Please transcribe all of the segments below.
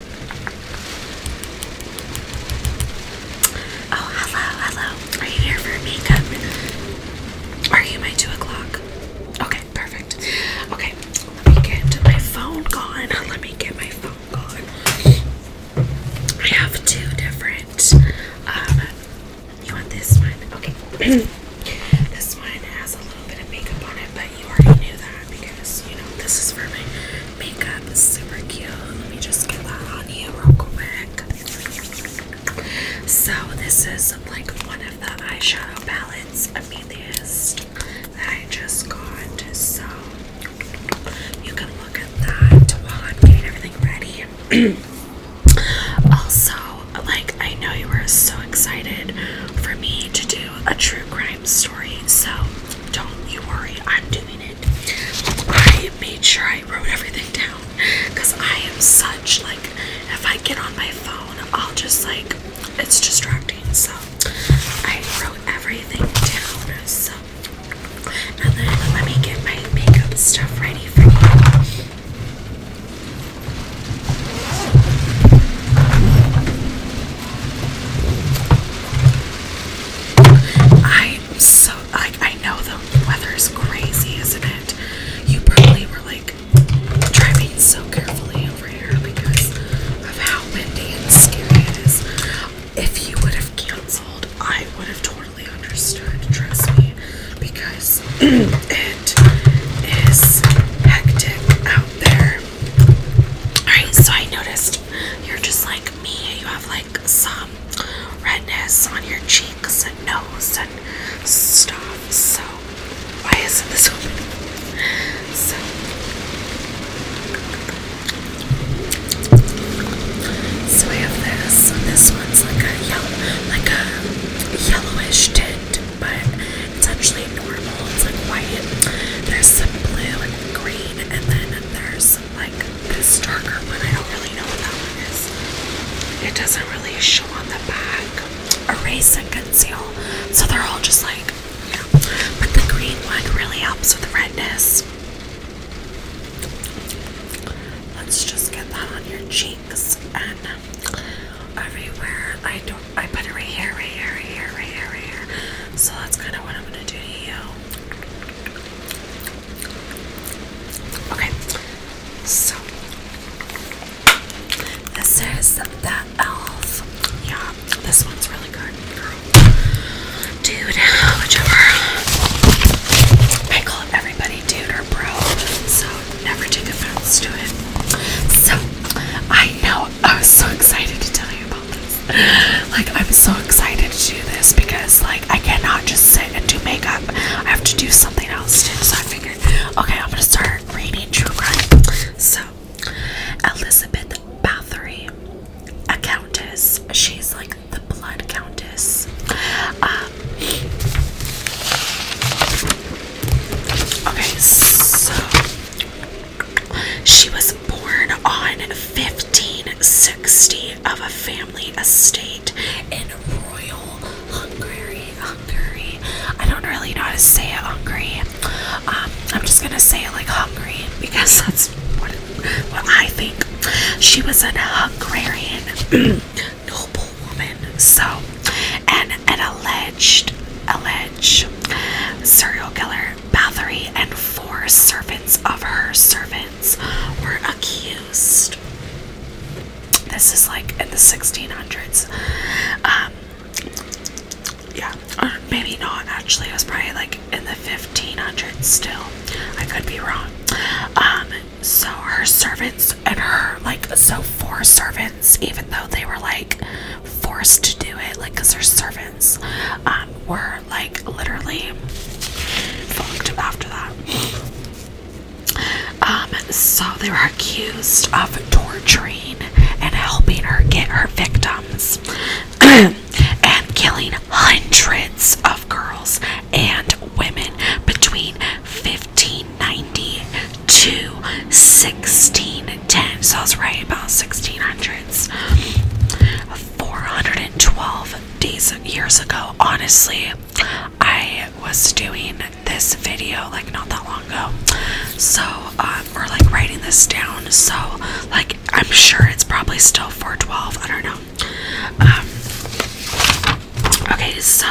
Oh, hello, hello. Are you here for makeup? Are you my two o'clock? Okay, perfect. Okay, let me get my phone gone. Let me get my phone gone. I have two different. Um, you want this one? Okay. this one has a little bit of makeup on but you already knew that because you know this is for my makeup. super cute. Let me just get that on you real quick. So this is like one of the eyeshadow palettes Amethyst that I just got. So you can look at that while I'm getting everything ready. also, like I know you were so excited for me to do a true crime story, so don't you worry, I'm doing it. I made sure I wrote everything down because I am such like if I get on my phone, I'll just like it's distracting, so I wrote everything down. So now let me get my makeup stuff ready for you. I am so like I know the weather is crazy, isn't it? You probably were like driving so carefully over here because of how windy and scary it is. If you would have canceled, I would have totally understood, trust me, because it is hectic out there. Alright, so I noticed you're just like me. You have like some redness on your cheeks and nose and stuff. So, why isn't this working? So, so we have this. This one's like a yellow, like a yellowish tint, but it's actually normal. It's like white. There's some blue and green, and then there's like this darker one. I don't really know what that one is. It doesn't really show on the back. Erase and conceal. So they're all just like, you But the green one really helps with redness. Let's just get that on your cheeks and everywhere. I don't I put it right here, right here, right here, right here, right here. So that's kind of what I'm gonna do to you. Okay, so this is the elf. Yeah, this one's really good, girl. Dude, whichever. I call everybody dude or bro, so never take offense to it. So I know I was so excited to tell you about this. Like, I'm so excited to do this because, like, I cannot just sit and do makeup. I have to do something else too. So I figured, okay, I'm gonna start reading true crime. So, Elizabeth Bathory, a countess. She's like the blood countess. Um, okay, so she was born on 1560 of a family estate in Royal Hungary. Hungary. I don't really know how to say Hungary. Um, I'm just gonna say like Hungary because that's what, I think. She was an Hungarian noble woman, so and an alleged serial killer Bathory and four servants of her servants were accused. This is like in the 1600s. Um, yeah, or maybe not actually. It was probably like in the 1500s still. I could be wrong. Um, so her servants and her, like, so four servants, even though they were like forced to do it, like, because their servants um, were like literally fucked after that. Um, so they were accused of torturing and helping her get her victims and killing hundreds of girls and women between 1590 to 1610. So I was right about 1600s. 412 days years ago. Honestly, I was doing this video like not that long ago. So we're um, like writing this down. So like I'm sure it's probably still 412. I don't know. Um, okay, so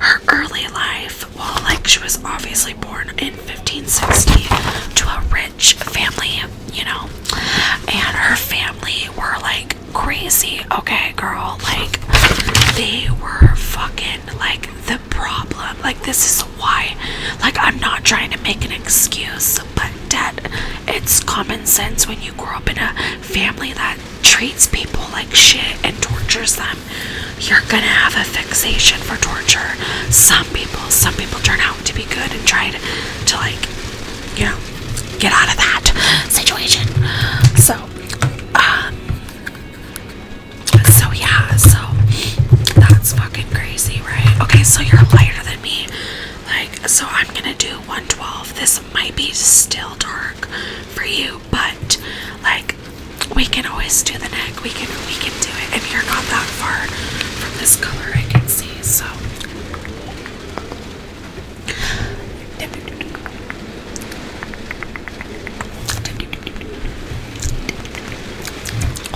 her early life well, like she was obviously born in 1560 to a rich family, you know, and her family were like crazy. Okay, girl, like they were fucking like the problem. Like this is why. Like I'm not trying to make an excuse, but dad, it's common sense when you grow up in a family that treats people like shit and tortures them you're gonna have a fixation for torture. Some people, some people turn out to be good and try to, to like, you know, get out of that situation. So, um, so yeah, so that's fucking crazy, right? Okay, so you're lighter than me. Like, so I'm gonna do 112. This might be still dark for you, but like, we can always do the neck. We can we can do it. If you're not that far from this color I can see, so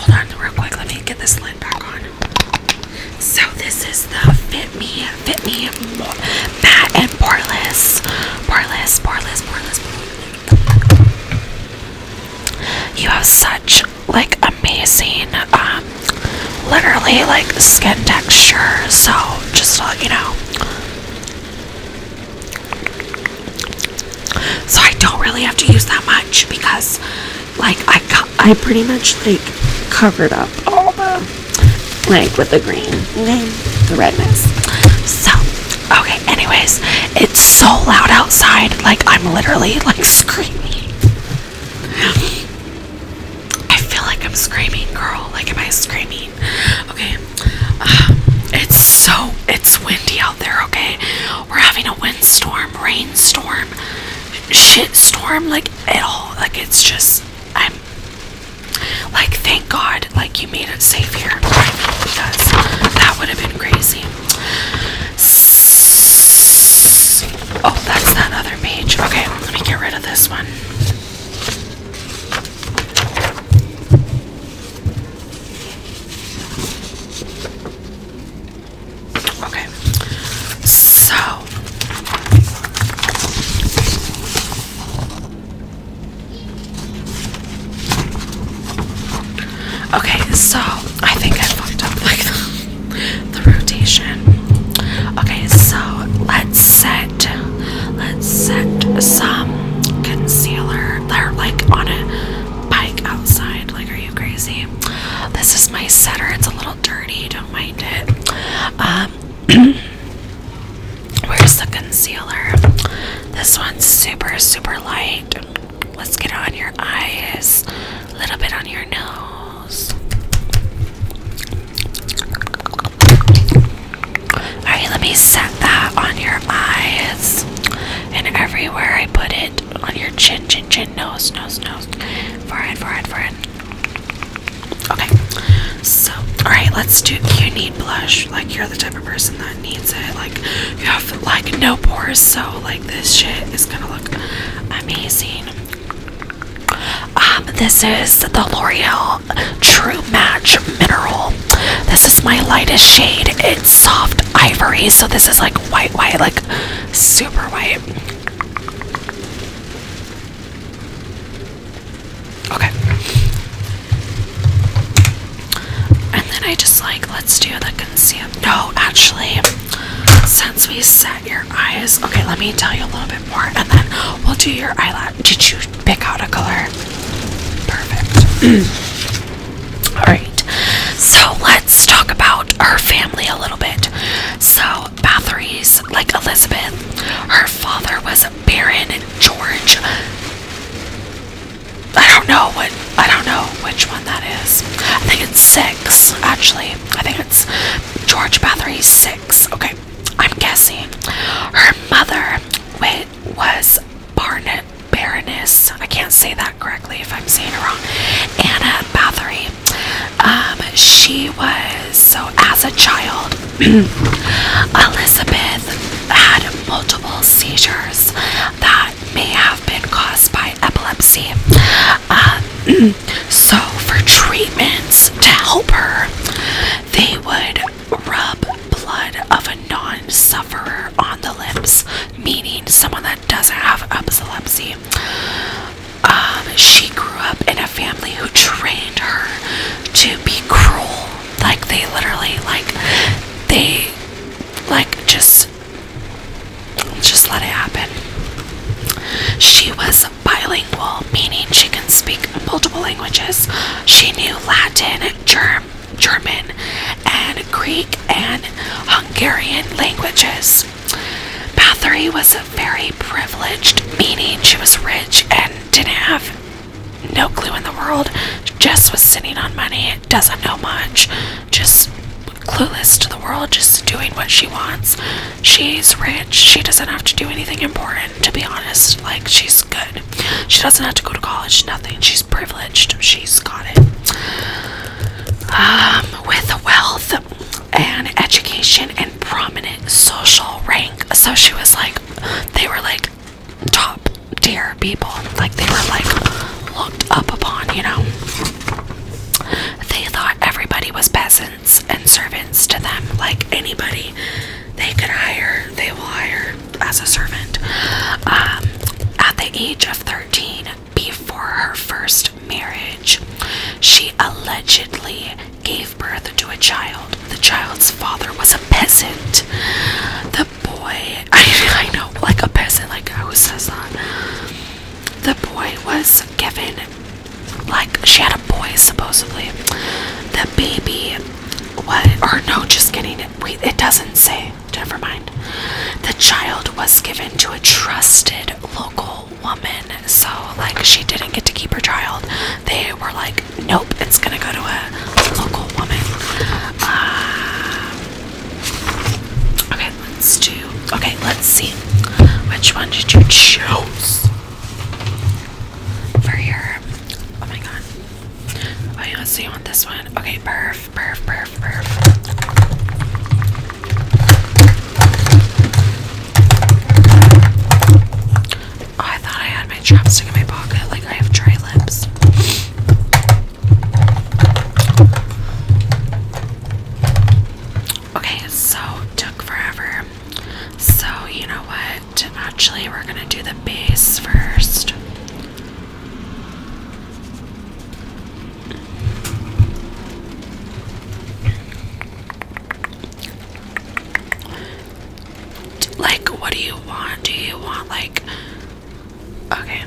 Hold on real quick, let me get this lid back on. So this is the Fit Me, Fit and Poreless, Poreless, Poreless, Poreless, you have such like amazing, um, literally like skin texture. So just to you know. So I don't really have to use that much because, like, I I pretty much like covered up all the like with the green, okay, the redness. So. Okay, anyways, it's so loud outside, like I'm literally like screaming. I feel like I'm screaming, girl. Like, am I screaming? Okay, um, it's so it's windy out there. Okay, we're having a windstorm, rainstorm, shit storm, like it all. Like, it's just I'm like, thank God like you made it safe here because that would have been crazy. oh, that's that other page. Okay, let me get rid of this one. Okay, so Okay, so I think I fucked up like the, rotation. Okay, so let's set let's set some concealer. They're like on a bike outside. Like, are you crazy? This is my setter. It's a little dirty. Don't mind it. Um, where's the concealer? This one's super, super light. Let's get on your eyes, a little bit on your nose. Alright, let me set that on your eyes. And everywhere I put it on your chin, chin, chin, nose, nose, nose, forehead, forehead, forehead. Okay, so, alright, let's do. You need blush. Like, you're the type of person that needs it. Like, you have like no pores, so like this shit is gonna look amazing. Um, this is the L'Oreal True Match Mineral. This is my lightest shade. It's soft ivory, so this is like white, white, like super white. Okay. And then I just like, let's do the concealer. No, actually, since we set your eyes, okay, let me tell you a little bit more and then we'll do your eyelash. Did you pick out a color? Perfect. Alright, so let's talk about her family a little bit. So, Bathory's, like Elizabeth, her father was Baron George I don't know what I don't know which one that is. I think it's six, actually. I think it's George Bathory's six. Okay, I'm guessing. Her mother wait, was Barnet Baroness. I can't say that correctly if I'm saying it wrong. Anna Bathory. Um, she was so as a child, Elizabeth had multiple seizures that may have been caused by epilepsy. Um, so, for treatments to help her, they would rub blood of a non sufferer on the lips, meaning someone that doesn't have epilepsy. Um, she grew up in a family who trained her to be cruel like they literally like they like just just let it happen. She was bilingual, meaning she can speak multiple languages. She knew Latin, Germ German, and Greek and Hungarian languages. Bathory was a very privileged, meaning she was rich and didn't have no clue in the world. Jess was sitting on money, doesn't know much, just clueless to the world, just doing what she wants. She's rich, she doesn't have to do anything important, to be honest. Like, she's good. She doesn't have to go to college, nothing. She's privileged, she's got it. Um, with wealth and education and prominent social rank. So she was like, they were like, top tier people. Like they were like looked up upon, you know. They thought everybody was peasants and servants to them. Like anybody they could hire, they will hire as a servant. Um, at the age of 13, before her first marriage, she allegedly gave birth to a child. The child's father was a peasant. The boy, I, I know, like a peasant, like who says that? The boy was given, like, she had a boy supposedly. The baby, what, or no, just kidding, wait, it doesn't say, never mind. The child was given to a trusted local woman, so, like, she didn't get to keep her child. They were like nope, it's gonna go to a local woman. Uh, okay, let's do. Okay, let's see. Which one did you choose for your? Oh my god. Oh yeah, want this one? Okay, perf, perf, perf, perf. I thought I had my chapstick in my pocket. Like I have dry lips. Okay, so took forever. So you know what? Actually, we're gonna do the base first. Like, what do you want? Do you want, like, okay.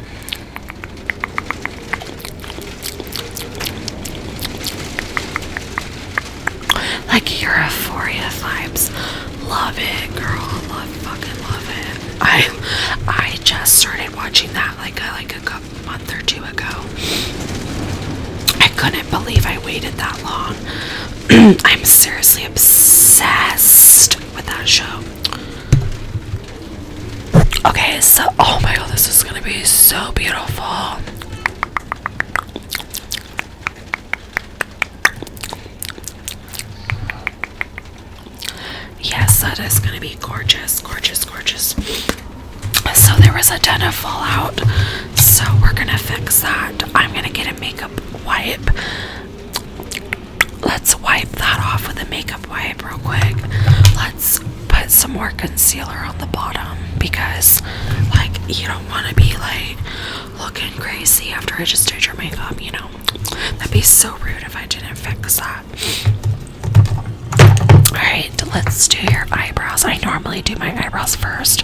Like, your euphoria vibes. Love it, girl. Love, fucking love it. I, I just started watching that, like, a, like a month or two ago. I couldn't believe I waited that long I'm seriously obsessed with that show. Okay, so oh my god, this is gonna be so beautiful. Yes, that is gonna be gorgeous, gorgeous, gorgeous. So there was a ton of fallout, so we're gonna fix that. I'm gonna get a makeup wipe Let's wipe that off with a makeup wipe real quick. Let's put some more concealer on the bottom because, like, you don't want to be like looking crazy after I just did your makeup, you know? That'd be so rude if I didn't fix that. Alright, let's do your eyebrows. I normally do my eyebrows first,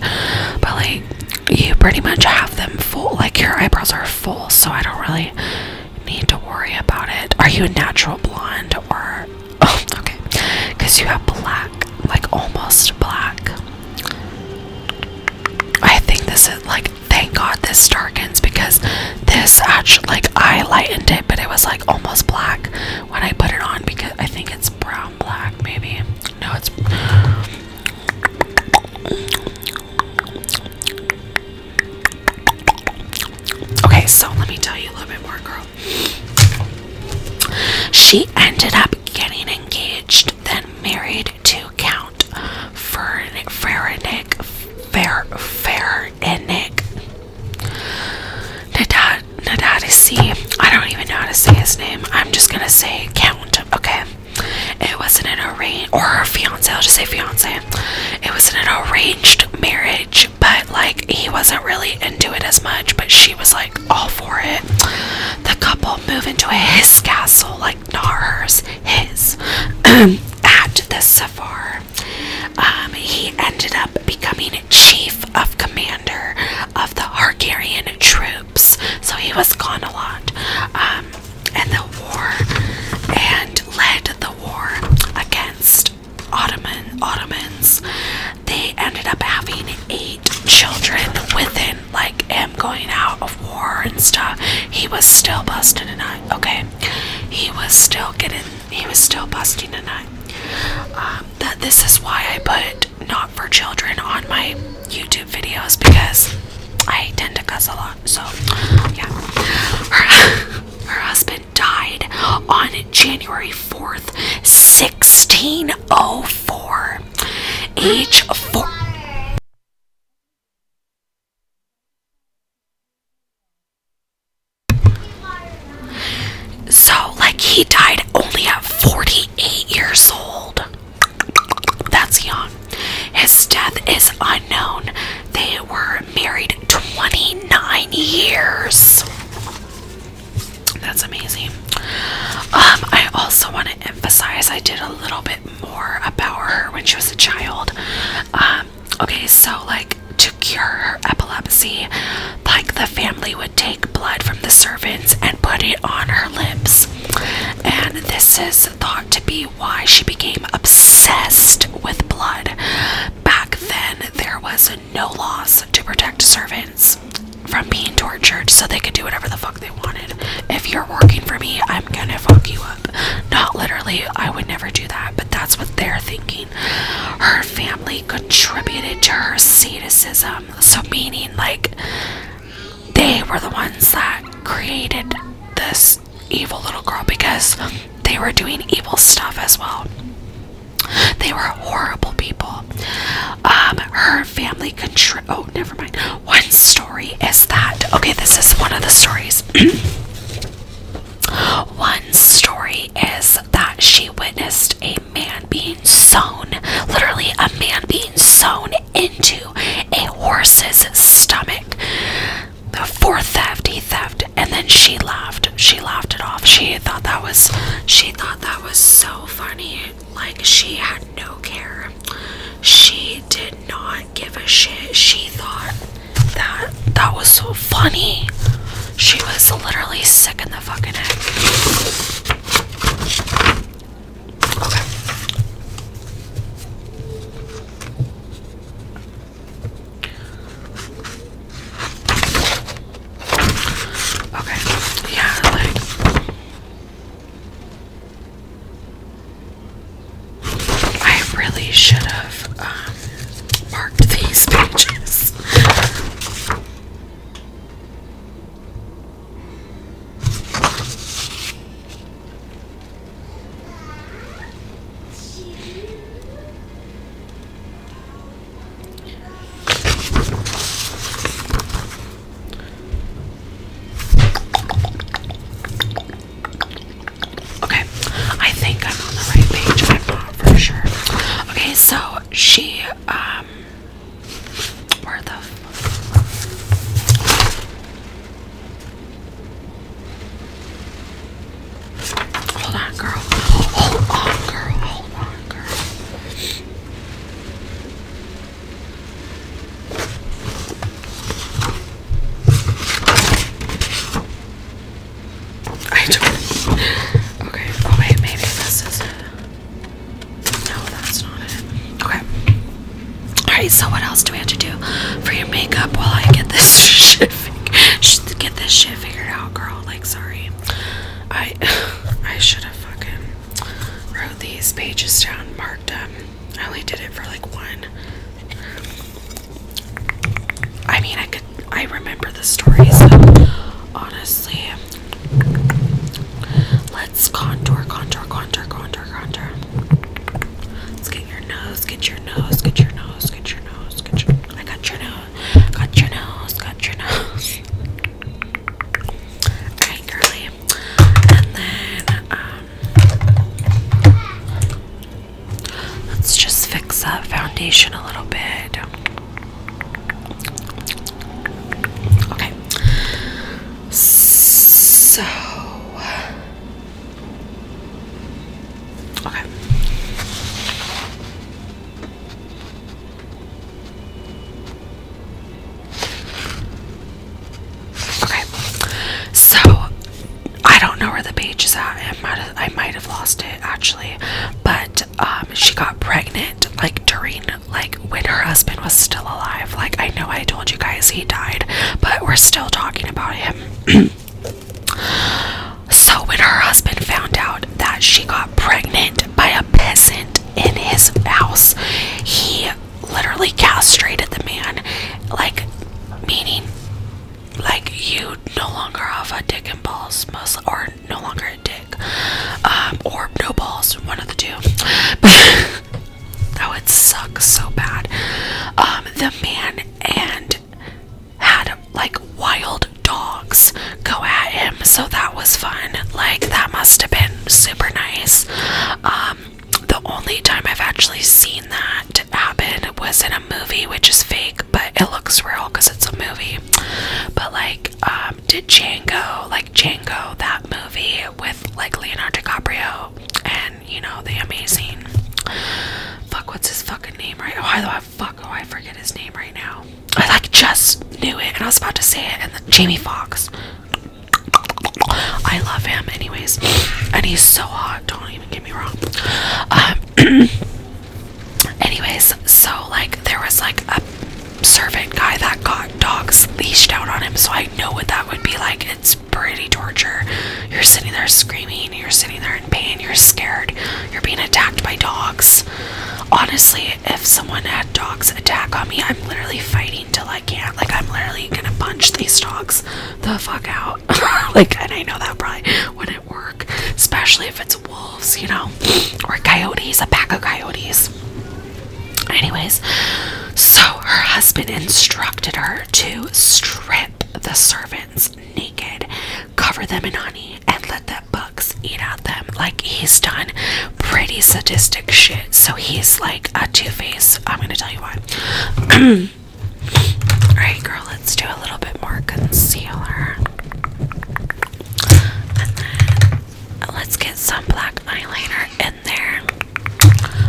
but like, you pretty much have them full, like your eyebrows are full, so I don't really need to worry about it. Are you a natural blonde or okay? Because you have black, like almost black. I think this is like thank god this darkens because this actually like I lightened it, but it was like almost black when I put it on because I think it's brown black, maybe. No, it's Okay, so let me tell you a little bit more, girl. She ended up getting engaged, then married to Count Ferenick Ferenick Nadadisi. I don't even know how to say his name. I'm just gonna say Count, okay? It was an arranged, or her fiance, I'll just say fiance. It was an arranged marriage, but like he wasn't really into it as much, but she was like all for it. The couple move into a his castle, like not hers, his, at the Safar. Um, he ended up becoming chief of commander of the Hargarian troops so he was gone a lot. Um, and the war, and led the war against Ottoman Ottomans. They ended up having eight children within, like him going out of war and stuff. He was still busting a nut. Okay, he was still getting. He was still busting a nut. Um, that this is why I put not for children on my YouTube videos because I tend to cuss a lot. So, yeah. Her, her husband died on January 4th, 1604. Age 4. So, like, he died only at 48 years old. That's young. His death is unknown. They were married 29 years. That's amazing. Um, I also want to emphasize I did a little bit more about her when she was a child. Um, okay, so like to cure her epilepsy, like the family would take blood from the servants and put it on her lips and this is thought to be why she became obsessed with blood. Back then, there was no laws to protect servants from being tortured, so they could do whatever the fuck they wanted. If you're working for me, I'm gonna fuck you up. Not literally, I would never do that, but that's what they're thinking. Her family contributed to her sadism, so meaning like they were the ones that created this evil little girl because they were doing evil stuff as well. They were horrible people. Um, her family control. Oh, never mind. One story is that. Okay, this is one of the stories. one story is that she witnessed a man being sewn, literally, a man being sewn into a horse's stomach for theft. He theft, and then she laughed. She laughed it off. She thought that was she thought that was so funny. Like she had no care. She did not give a shit. She thought that that was so funny. She was literally sick in the fucking head. Okay. Yeah, like I really should have um, marked these pages. Okay, I think I'm on the right page. for sure. Okay, so she um, where the? Hold on, girl. Hold on, girl. Hold on, girl. I don't. Okay. Oh, wait, maybe this is it. No, that's not it. Okay. Alright, so what else do we have to do for your makeup while I get this shit get this shit figured out, girl? Like sorry. I I should have fucking wrote these pages down, marked them. I only did it for like one. I mean I could I remember the stories so honestly Let's contour, contour, contour, contour, contour. Let's get your nose, get your nose, get your nose, get your nose, get your I got your nose, got your nose, got your nose. Alright, girly. And then um Let's just fix that foundation a little bit. Okay. So Okay. Okay. So I don't know where the page is at. I might have, I might have lost it actually, but um, she got pregnant like during like when her husband was still alive. Like, I know I told you guys he died, but we're still talking about him. so, when her husband found out that she got pregnant by a peasant in his house, he literally castrated the man, like, meaning. Like you no longer have a dick and balls, most or no longer a dick, um, or no balls, one of the two. that would suck so bad. Um, the man and had like wild dogs go at him, so that was fun. Like that must have been super nice. Um, the only time I've actually seen that happen was in a movie, which is fake, but it looks real because it's a movie. But like, uh, um, did Django, like Django, that movie with like Leonardo DiCaprio and you know the amazing fuck what's his fucking name right? Oh hi love, oh, fuck oh I forget his name right now. I like just knew it and I was about to say it and then Jamie Fox. I love him anyways. And he's so hot, don't even get me wrong. Um anyways, so like there was like a servant guy that got dogs leashed out on him, so I know what that would be like. It's pretty torture. You're sitting there screaming, you're sitting there in pain, you're scared, you're being attacked by dogs. Honestly, if someone had dogs attack on me, I'm literally fighting till I can't. Like, I'm literally gonna punch these dogs the fuck out. like, and I know that probably wouldn't work, especially if it's wolves, you know, or coyotes, a pack of coyotes. Anyways, so her husband instructed her to strip the servants naked, cover them in honey, and let the bugs eat at them. Like, he's done pretty sadistic shit. So he's like a two face. I'm gonna tell you why. Alright, girl, let's do a little bit more concealer. Let's get some black eyeliner in there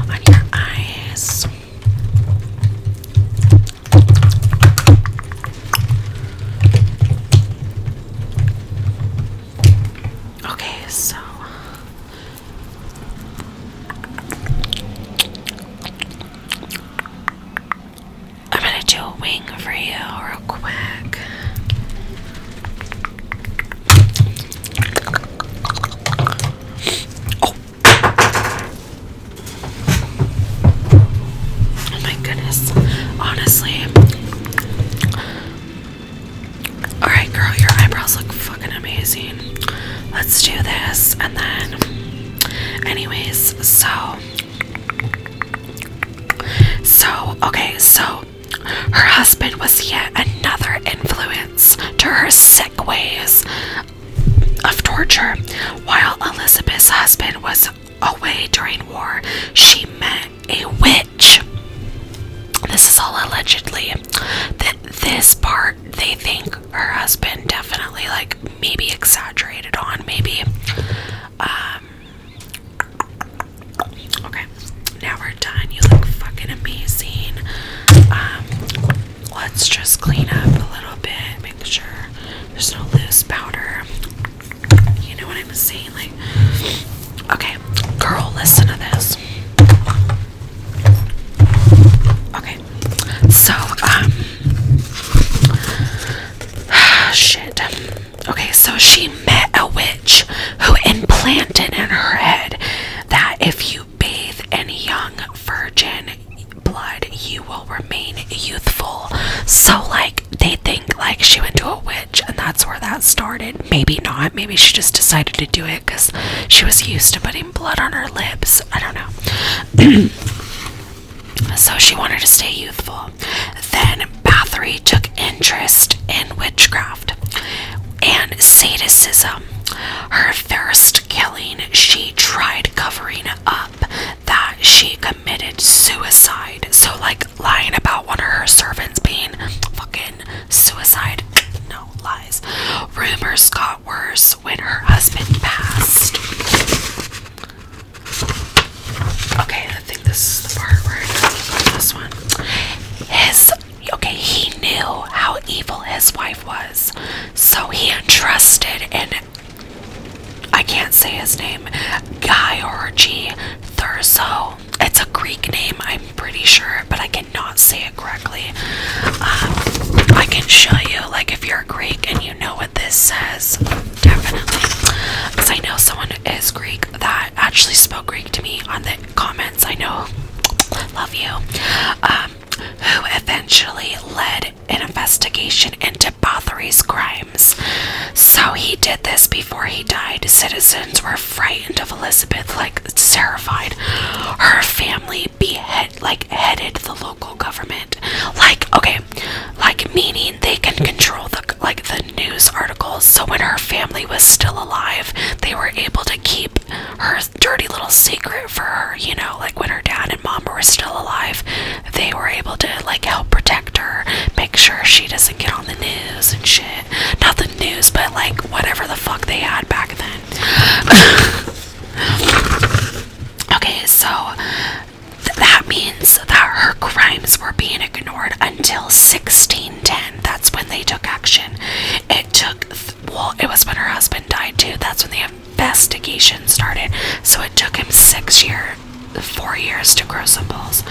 on your eyes. Okay, so I'm gonna do a wing for you real quick. Oh. my goodness. Honestly. Alright, girl, your eyebrows look fucking amazing. Let's do this and then. Anyways, so so, okay, so her husband was yet another influence to her sick ways of torture. While Elizabeth's husband was away during war, she met a witch. This is all allegedly. That this part they think her husband definitely like maybe exaggerated on, maybe um Okay, now we're done. You look fucking amazing. Um, let's just clean up a little bit, make sure there's no loose powder. You know what I'm saying? Like, okay, girl, listen to this. Okay, so, um, shit. Okay, so she met a witch who implanted in her head that if you bathe in young virgin blood, you will remain youthful. So, like, they think like she went to a witch, and that's where that started. Maybe not, maybe she just decided to do it because she was used to putting blood on her lips. I don't know. so, she wanted to stay youthful. Then Bathory took interest in witchcraft and sadism. Her first killing, she tried covering up that she committed suicide. So, like lying about one of her servants being fucking suicide. No lies. Rumors got worse when her husband passed. Okay, I think this is the part where this one. His okay, he knew how evil his wife was, so he entrusted in I can't say his name, Guy or G Thurso. It's a Greek name, I'm pretty sure, but I cannot say it correctly. Um, I can show you, like, if you're Greek and you know what this says definitely. Because I know someone is Greek that actually spoke Greek to me on the comments. I know, love you. Um, who eventually led an investigation into Bathory's crimes. So he did this before he died. Citizens were frightened of Elizabeth, like terrified. Her family behead, like headed the local government. Like, okay, like meaning they can control the like the news articles. So when her family was still alive, they were able to keep her dirty little secret for her. You know, like when her dad and mom were still alive, they were able to like help protect her, make sure she doesn't get on the news and shit. Not the news, but like whatever the fuck they had back then. okay, so that means that her crimes were being ignored until 1610. That's when they took action. It took, well, it was when her husband died too. That's when the investigation started. So it took him six years, four years to grow some balls,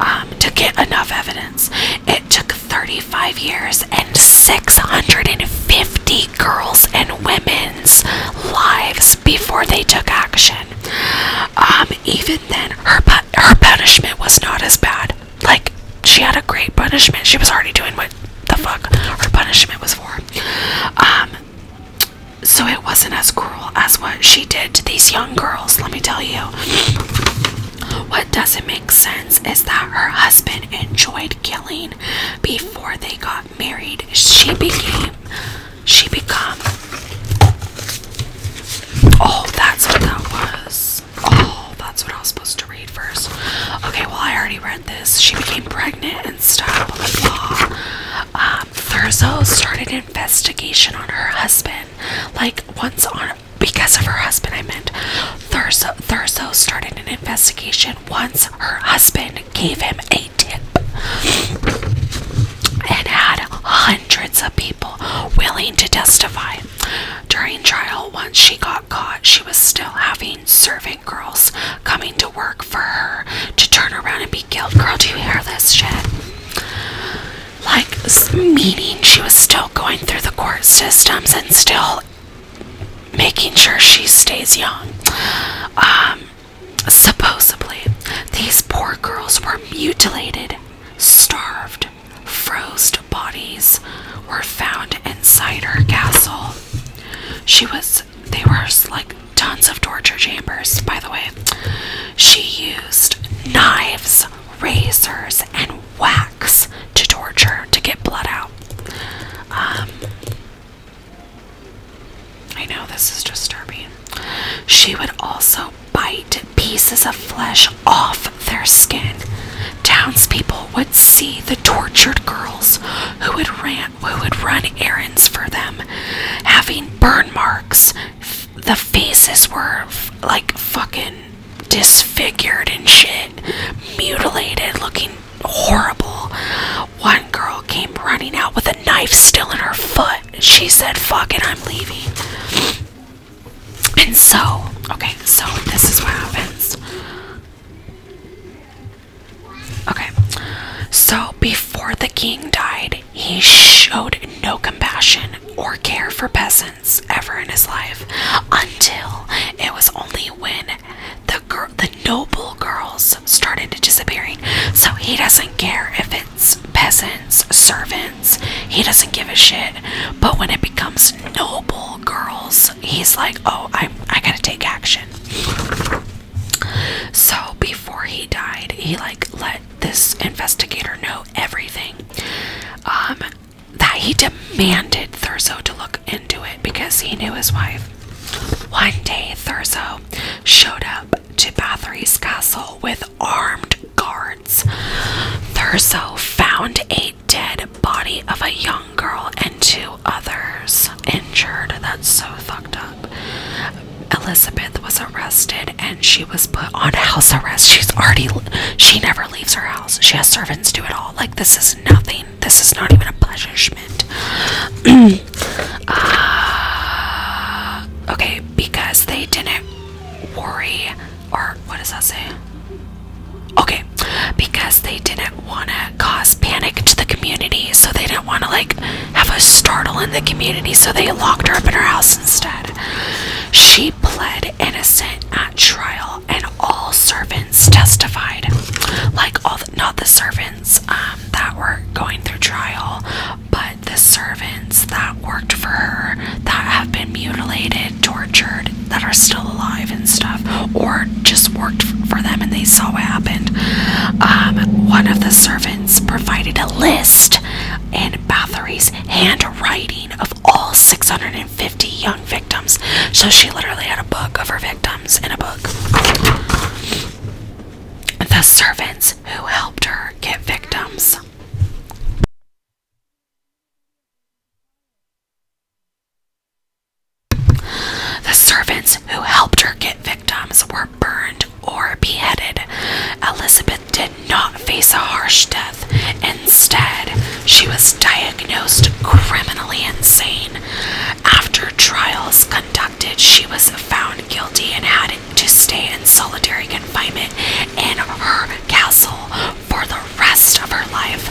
um, to get enough evidence. It took 35 years and 650 girls and women's lives before they took action. Um, even then, her her punishment was not as bad. Like she had a great punishment. She was already doing what the fuck her punishment was for. Um, so it wasn't as cruel as what she did to these young girls. Let me tell you. What doesn't make sense is that her husband enjoyed killing before they got married. She became she become? Oh, that's what that was. Oh, that's what I was supposed to read first. Okay, well, I already read this. She became pregnant and stuff. Um, Thurzo started an investigation on her husband. Like, once on, because of her husband, I meant. Thurzo, Thurzo started an investigation once her husband gave him a tip and had hundreds of people willing to testify. During trial, once she got caught, she was still having servant girls coming to work for her to turn around and be killed. Girl, do you hear this shit? Like, meaning she was still going through the court systems and still making sure she stays young. Um, Supposedly, these poor girls were mutilated, starved, froze bodies were found inside her castle. She was, they were like tons of torture chambers, by the way. She used knives, razors, and wax to torture to get blood out. Um, I know this is disturbing. She would also bite pieces of flesh off their skin. Townspeople would see the tortured girls who would ran who would run errands for them, having burn marks. The faces were like fucking disfigured and shit, mutilated, looking horrible one girl came running out with a knife still in her foot. She said, Fuck it, I'm leaving. And so, okay, so this is what happens. Okay, so before the king died, he showed no compassion or care for peasants ever in his life until it was only when the girl the noble girls started to disappearing. So he doesn't care if it's peasants, servants, he doesn't give a shit. But when it becomes noble girls, he's like, oh, I, I gotta take action. So before he died, he like let this investigator know everything. Um, that he demanded Thurzo to look into it because he knew his wife. One day, Thurzo showed up to Bathory's castle with armed guards. Thurso found a dead body of a young girl and two others injured. That's so fucked up. Elizabeth was arrested and she was put on house arrest. She's already, she never leaves her house. She has servants do it all. Like, this is nothing. This is not even a punishment. Uh, okay, because they didn't worry, or what does that say? Okay, because they didn't want to cause panic to the community, so they didn't want to like have a startle in the community, so they locked her up in her house instead. She pled innocent at trial, and all servants testified. Like all, not the servants um, that were going through trial, but the servants that worked for her that have been mutilated, tortured, that are still alive and stuff, or just worked for them and they saw what happened. Um, one of the servants provided a list in Bathory's handwriting of all 650 young victims. So she literally had a book of her victims in a book the servants who helped her get victims. The servants who helped her get victims were burned or beheaded. Elizabeth did not face a harsh death. Instead, she was diagnosed criminally insane. After trials Inducted, she was found guilty and had to stay in solitary confinement in her castle for the rest of her life.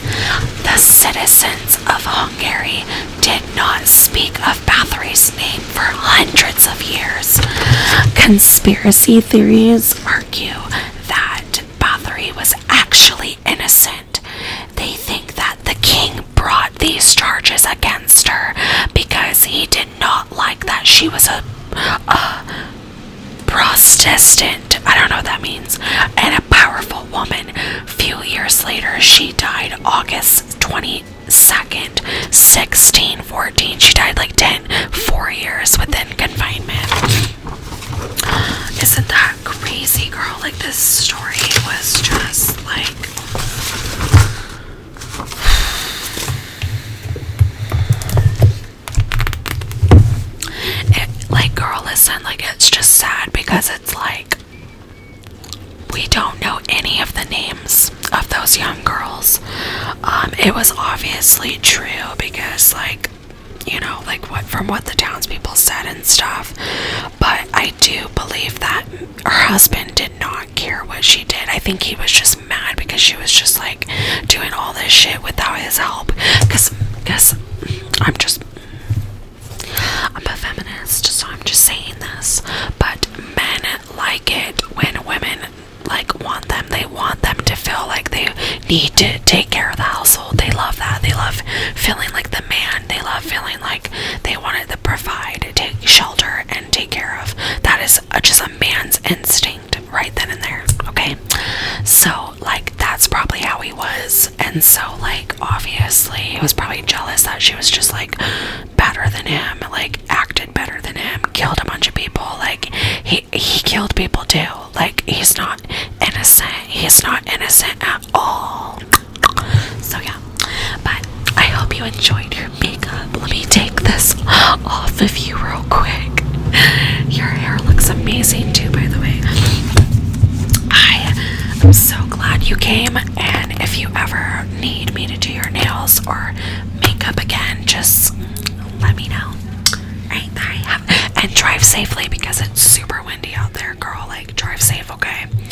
The citizens of Hungary did not speak of Bathory's name for hundreds of years. Conspiracy theories argue that Bathory was actually innocent. They think that the king brought these charges against her because he did not like that she was a, Protestant, I don't know what that means, and a powerful woman. Few years later, she died August 22nd, 1614. She died like 10, 4 years within confinement. Isn't that crazy, girl? Like, this story was just like like, girl, listen, like, it's just sad because it's like we don't know any of the names of those young girls. Um, it was obviously true because, like, you know, like what from what the townspeople said and stuff, but I do believe that her husband did not care what she did. I think he was just mad because she was just like doing all this shit without his help. Cause, cause I'm just, I'm a feminist, so I'm just saying this. But men like it when women like want them. They want them to feel like they need to take care of the household. They love that. They love feeling like the man they love feeling like they wanted to provide, take shelter, and take care of. That is just a man's instinct right then and there. Okay, so like that's probably how he was, and so like obviously he was probably jealous that she was just like better than him, like acted better than him, killed a bunch of people. Like he he killed people too. Like he's not innocent. He's not innocent at oh. So yeah, but I hope you enjoyed your makeup. Let me take this off of you real quick. Your hair looks amazing too, by the way. I am so glad you came, and if you ever need me to do your nails or makeup again, just let me know. And drive safely because it's super windy out there, girl. Like drive safe, okay?